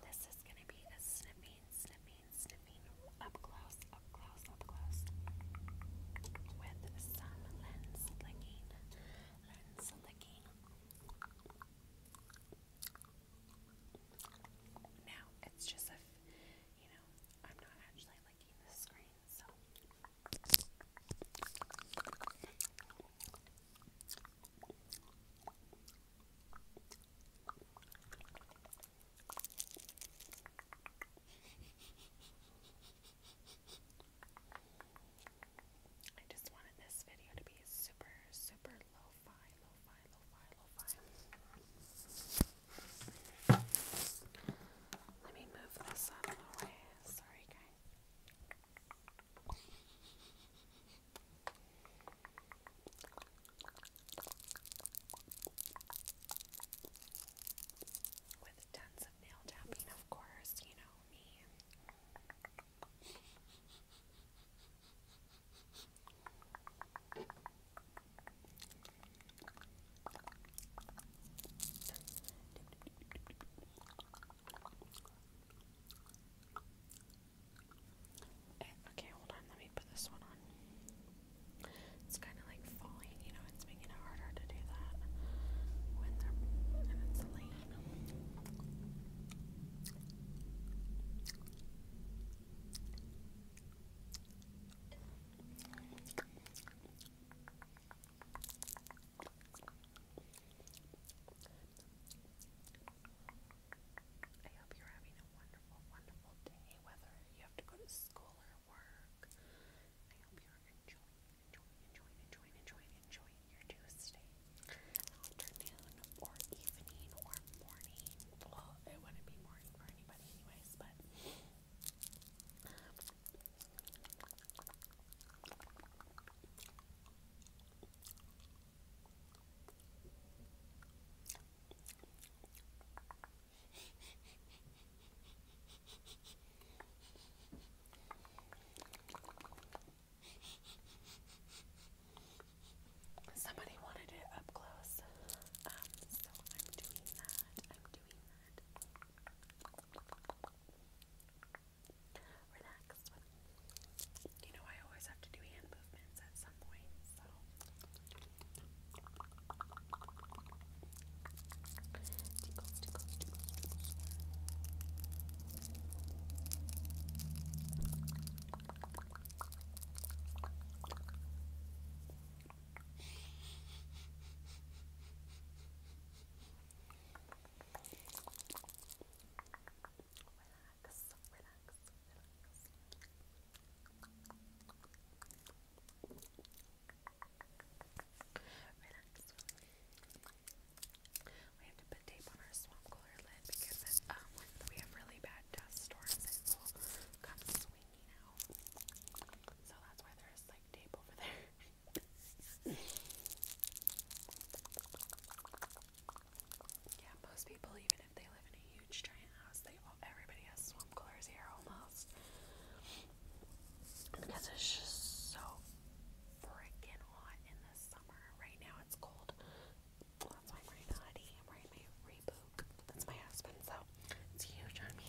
This is going to be a snipping, snipping, snipping up close, up close, up close with some lens licking, lens licking. Now, it's just if, you know, I'm not actually licking the screen, so I just wanted this video to be super, super low fi, low fi, low fi, low fi. Let me move this out of the way. Sorry, guys. With tons of nail tapping, of course, you know me. Okay, hold on, let me put this one on. It's kind of like falling, you know, it's making it harder to do that when they're and it's late. I hope you're having a wonderful, wonderful day, whether you have to go to school or work. I hope you're enjoying, enjoying, enjoying, enjoying, enjoying, enjoying your Tuesday afternoon or evening or morning. Well, it wouldn't be morning for anybody anyways, but um, Somebody wanted it up close, um, so I'm doing that. I'm doing that relaxed. You know, I always have to do hand movements at some point, so. Relax, relax, We have to put tape on our swamp cooler lid because when um, we have really bad dust storms, it will come swinging out. So that's why there's like tape over there. Yeah, most people, even if they live in a huge giant house, they all, everybody has swamp here almost. Because it's just so freaking hot in the summer. Right now it's cold. that's why I'm wearing I'm wearing my Reebok. That's my husband, so it's huge on me.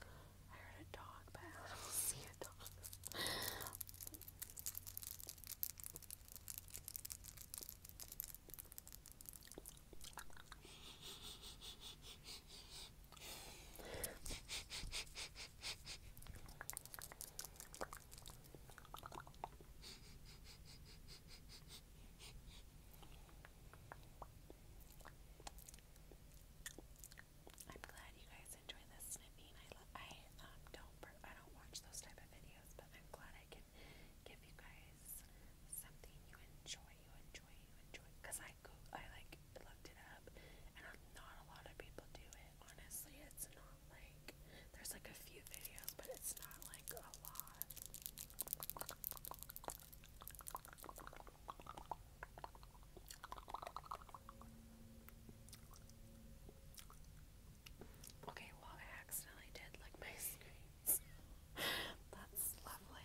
I heard a dog, but I don't see a dog. I'm glad you guys enjoy this snipping. I love, I um, don't I don't watch those type of videos, but I'm glad I can give you guys something you enjoy, you enjoy, you enjoy. Cause I go, I like looked it up, and not a lot of people do it. Honestly, it's not like there's like a few videos, but it's not like a lot. Okay, well, I accidentally did lick my screens. That's lovely.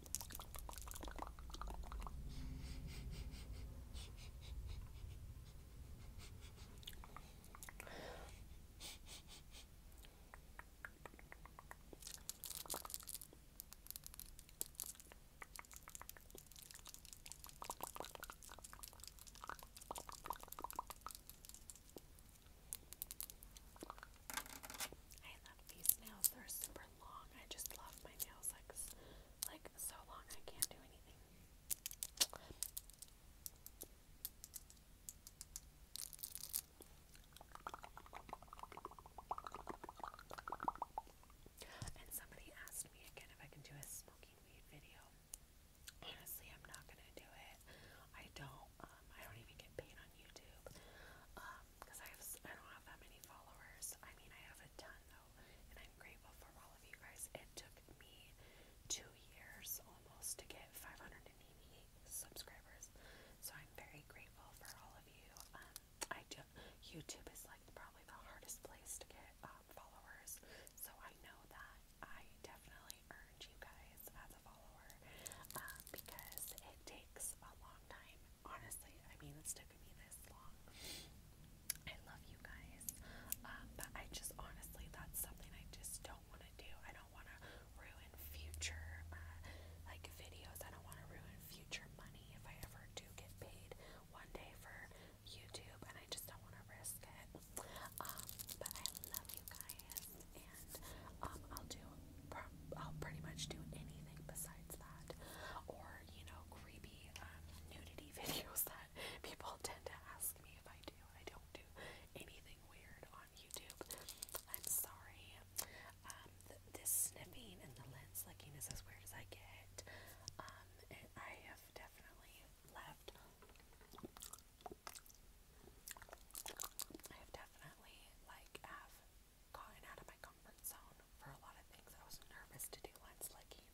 I love these nails, they're super long. I just love my nails like like so long I can't do anything. And somebody asked me again if I can do a smoking weed video. Honestly, I'm not gonna do it. I don't. Um, I don't even get paid on YouTube. Um, because I have I don't have that many followers. I mean, I have a ton though, and I'm grateful for all of you guys. It took me two years almost to get 588 subscribers, so I'm very grateful for all of you. Um, I do. YouTube is like probably the hardest place to get um, followers, so I know that I definitely earned you guys as a follower um, because it takes a long time honestly, I mean, it's taken me this long. I love you guys, um, but I just honestly, that's something I just don't want to do. I don't want to ruin future uh, like videos. I don't want to ruin future money if I ever do get paid one day for YouTube, and I just don't want to risk it. Um, but I love you guys, and um, I'll do I'll pretty much do anything besides that. Or, you know, creepy um, nudity videos that people tend to ask me if I do. I don't do anything weird on YouTube. I'm sorry. Um, this sniffing and the lens licking is as weird as I get. Um, I have definitely left. I have definitely like have gotten out of my comfort zone for a lot of things. I was nervous to do line slicking.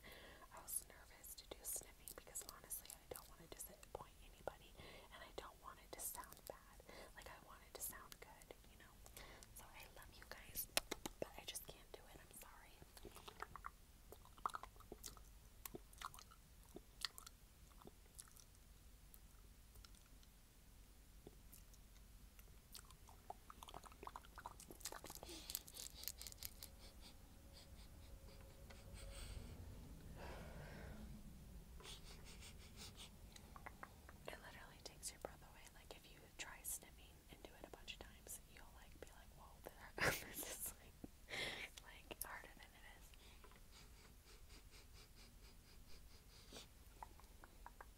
I was nervous to do sniffing because honestly, I don't want to disappoint anybody and I don't want it to sound bad. Like, I want it to sound good, you know? So, I love you guys, but I just can't do it. I'm sorry. It literally takes your breath away. Like if you try sniffing and do it a bunch of times, you'll like be like, "Whoa, this is like harder than it is."